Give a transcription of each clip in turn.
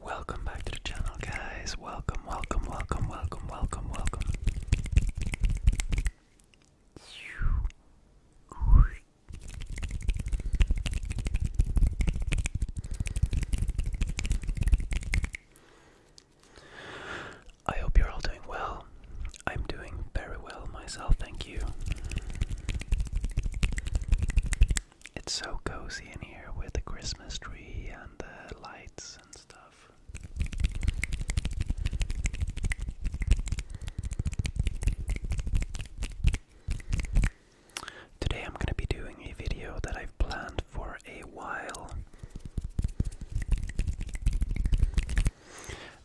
Welcome back to the channel, guys. Welcome, welcome, welcome, welcome, welcome, welcome. I hope you're all doing well. I'm doing very well myself, thank you. It's so cozy in here with the Christmas tree and the lights and stuff. Today I'm going to be doing a video that I've planned for a while.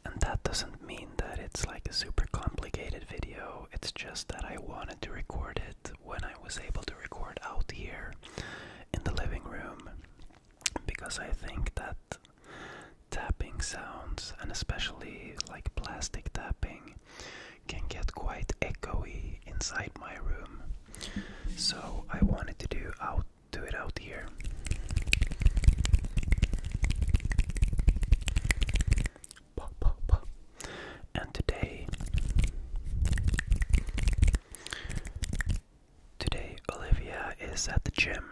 And that doesn't mean that it's like a super complicated video, it's just that I wanted to record it when I was able to record out here in the living room because I think that tapping sounds, and especially like plastic tapping, can get quite echoey inside my room. So I wanted to do out do it out here. And today Today Olivia is at the gym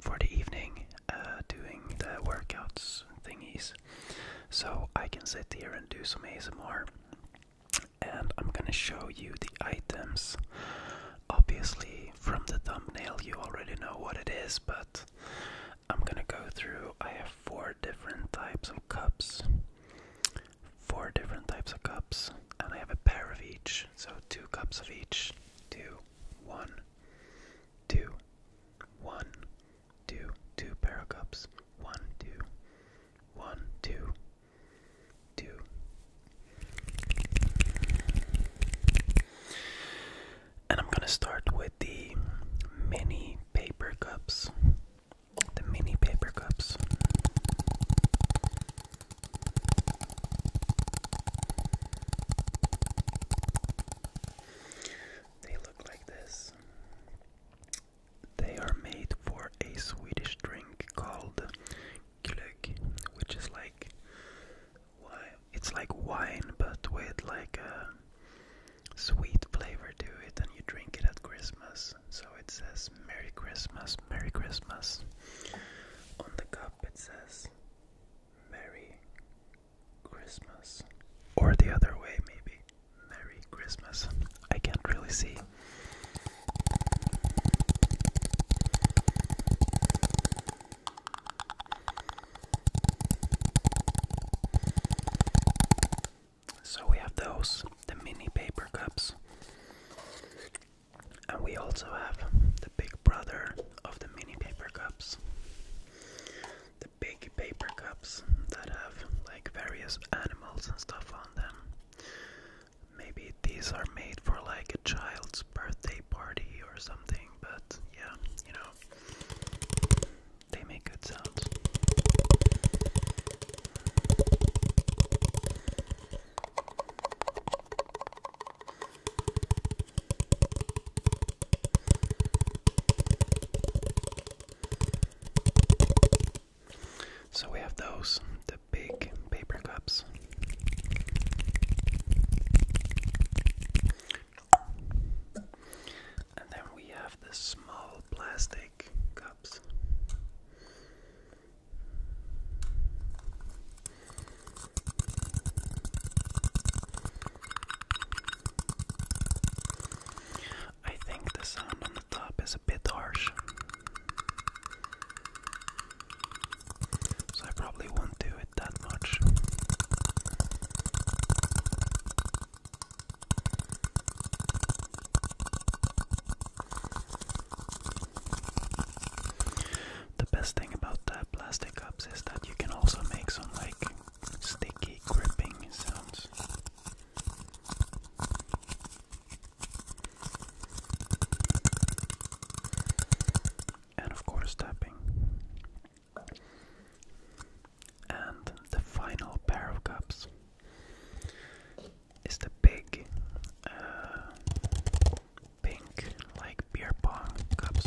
for the evening uh, doing the workouts thingies so I can sit here and do some ASMR. And I'm gonna show you the items. Obviously, from the thumbnail, you already know what it is, but I'm gonna go through. I have four different types of cups, four different types of cups, and I have a pair of each, so two cups of each. Two, one, two, one, two, two barrel cups, one, two, one, two, two. And I'm gonna start with the mini paper cups. The mini paper cups. They look like this. They are made for a Swedish drink called glögg, which is like It's like wine, but with like a sweet flavor to it, and you drink it at Christmas. So it says "Merry Christmas, Merry Christmas." On the cup, it says "Merry Christmas. Or the other way, maybe. Merry Christmas. I can't really see. So we have those, the mini paper cups. And we also have the big brother of the mini paper cups big paper cups that have like various animals and stuff on them. Maybe these are made for like a child's birthday party or something, but yeah, you know, they make good sounds. So we have those, the big paper cups. And then we have the small plastic cups. I think the sound on the top is a bit harsh. So I probably won't do it that much. The best thing about plastic cups is that you can also make some like sticky gripping sounds. And of course, tapping. And the final pair of cups is the big uh, like beer pong cups.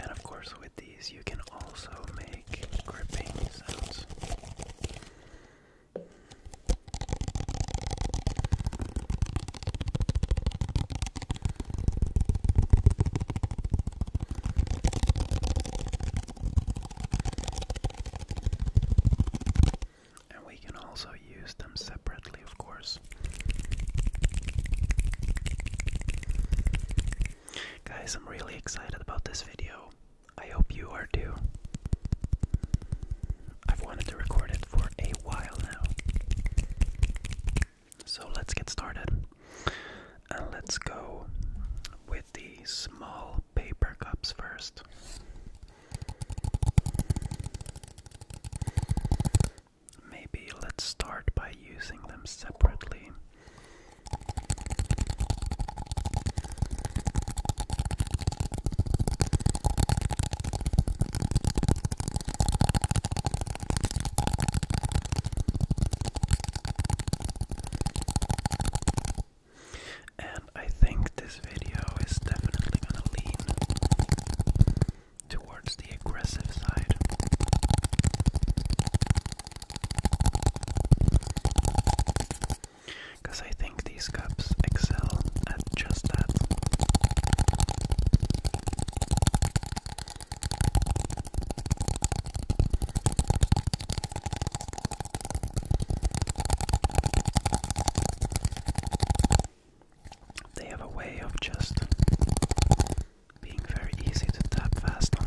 And of course, with these, you can also make gripping sounds. And we can also use them separately, of course. Guys, I'm really excited about this video. I hope you are too. I've wanted to record it for a while now. So let's get started. And let's go with the small paper cups first. Maybe let's start by using them separately. And I think this video is definitely going to lean towards the aggressive side. Because I think these cups excel at just that. They have a way of just being very easy to tap fast on.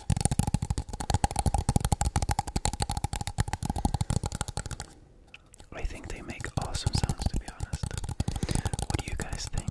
I think they make awesome sounds, to be honest. What do you guys think?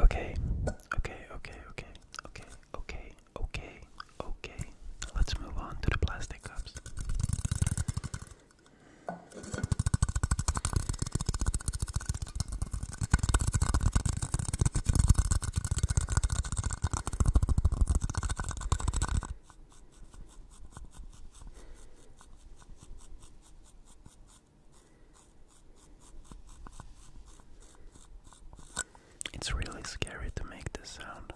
Okay, okay, okay, okay, okay, okay, okay, okay. Let's move on to the plastic cups. It's really scary to make this sound.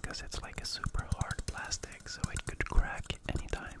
Because it's like a super hard plastic, so it could crack anytime.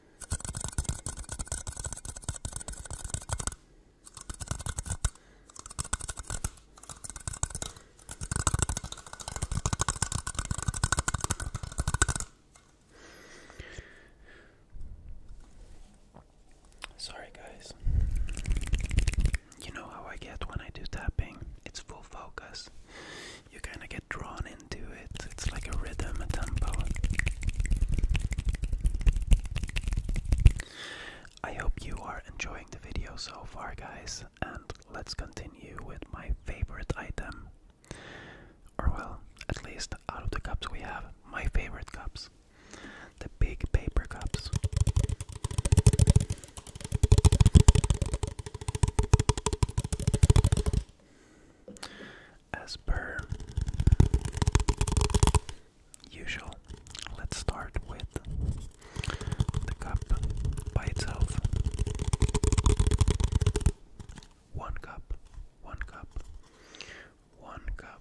Sorry, guys. You know how I get when I do tapping? It's full focus you kind of get drawn into it. It's like a rhythm, a tempo. I hope you are enjoying the video so far, guys, and let's continue with my favorite item. Or, well, at least out of the cups we have, my favorite cups the big paper cups. As per usual, let's start with the cup by itself. One cup, one cup, one cup.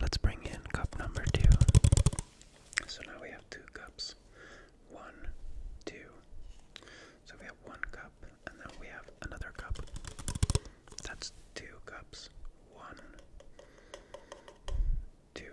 Let's bring in cup number two. So now we have two cups. One, two. So we have one cup, and then we have another cup. That's two cups. One, two.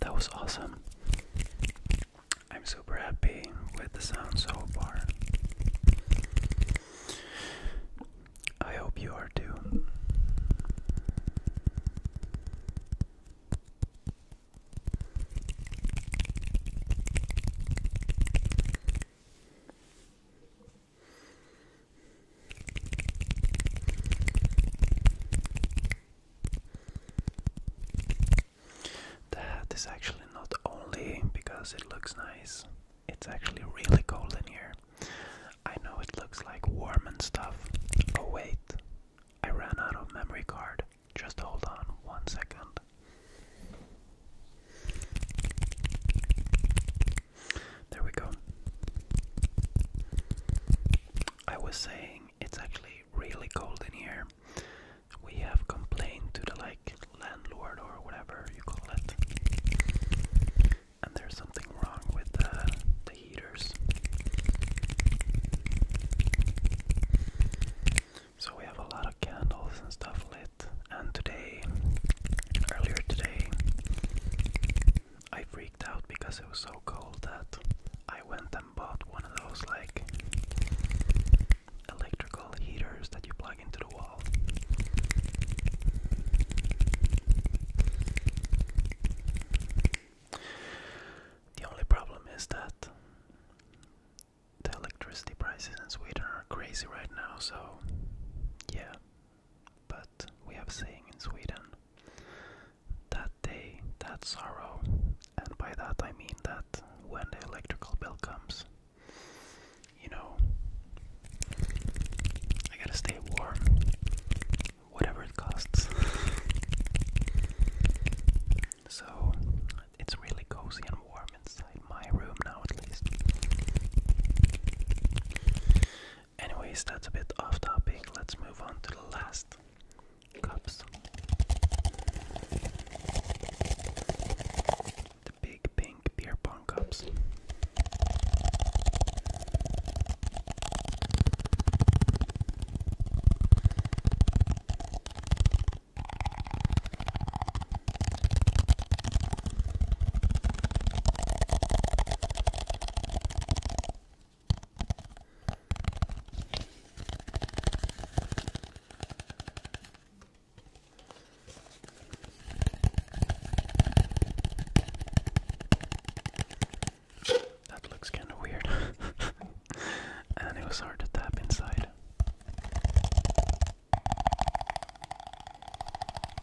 That was awesome. I'm super happy with the sound so far. I hope you are too. That is actually not only because it looks nice, it's actually really cold in here. I know it looks like warm and stuff. Oh, wait, I ran out of memory card. Just hold on one second. There we go. I was saying it's actually really cold in here. We have complained to the like landlord or whatever you call it. And there's something wrong with the, the heaters. So we have a lot of candles and stuff lit. And today, earlier today, I freaked out because it was so cold that I went and bought one of those like electrical heaters that you plug into the wall. The only problem is that the electricity prices in Sweden are crazy right now, so yeah, but we have seen in Sweden that day, that sorrow, and by that I mean that when the electrical bill comes, you know, I gotta stay warm, whatever it costs. so it's really cozy and warm inside my room now, at least. Anyways, that's a bit off topic. Let's move on to the last cups. The big pink beer pong cups. That looks kind of weird. and it was hard to tap inside.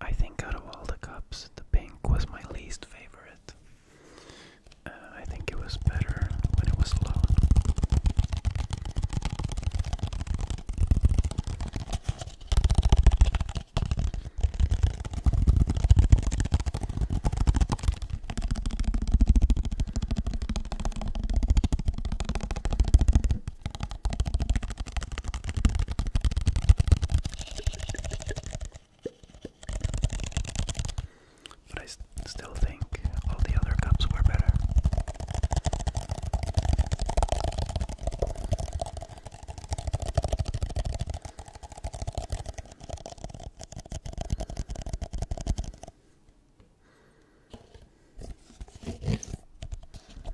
I think out of all the cups, the pink was my least favorite. Uh, I think it was better when it was alone. But I still think all the other cups were better.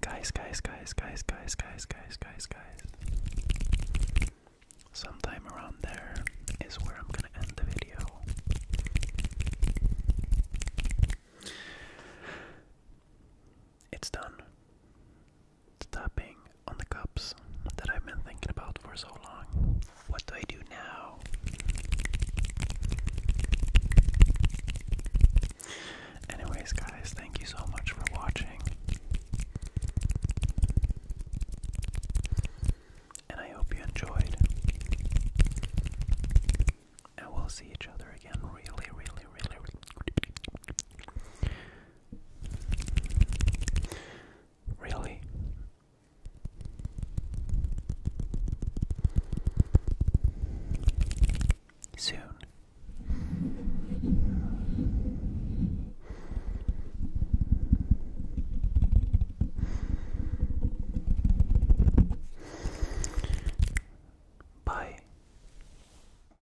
Guys, guys, guys, guys, guys, guys, guys, guys, guys. Sometime around there is where I'm gonna end the video. It's done tapping on the cups that I've been thinking about for so long. What do I do now? Anyways, guys, thank you so much for watching. And I hope you enjoyed. And we'll see each other again really, really, really, really Really? Soon. Bye.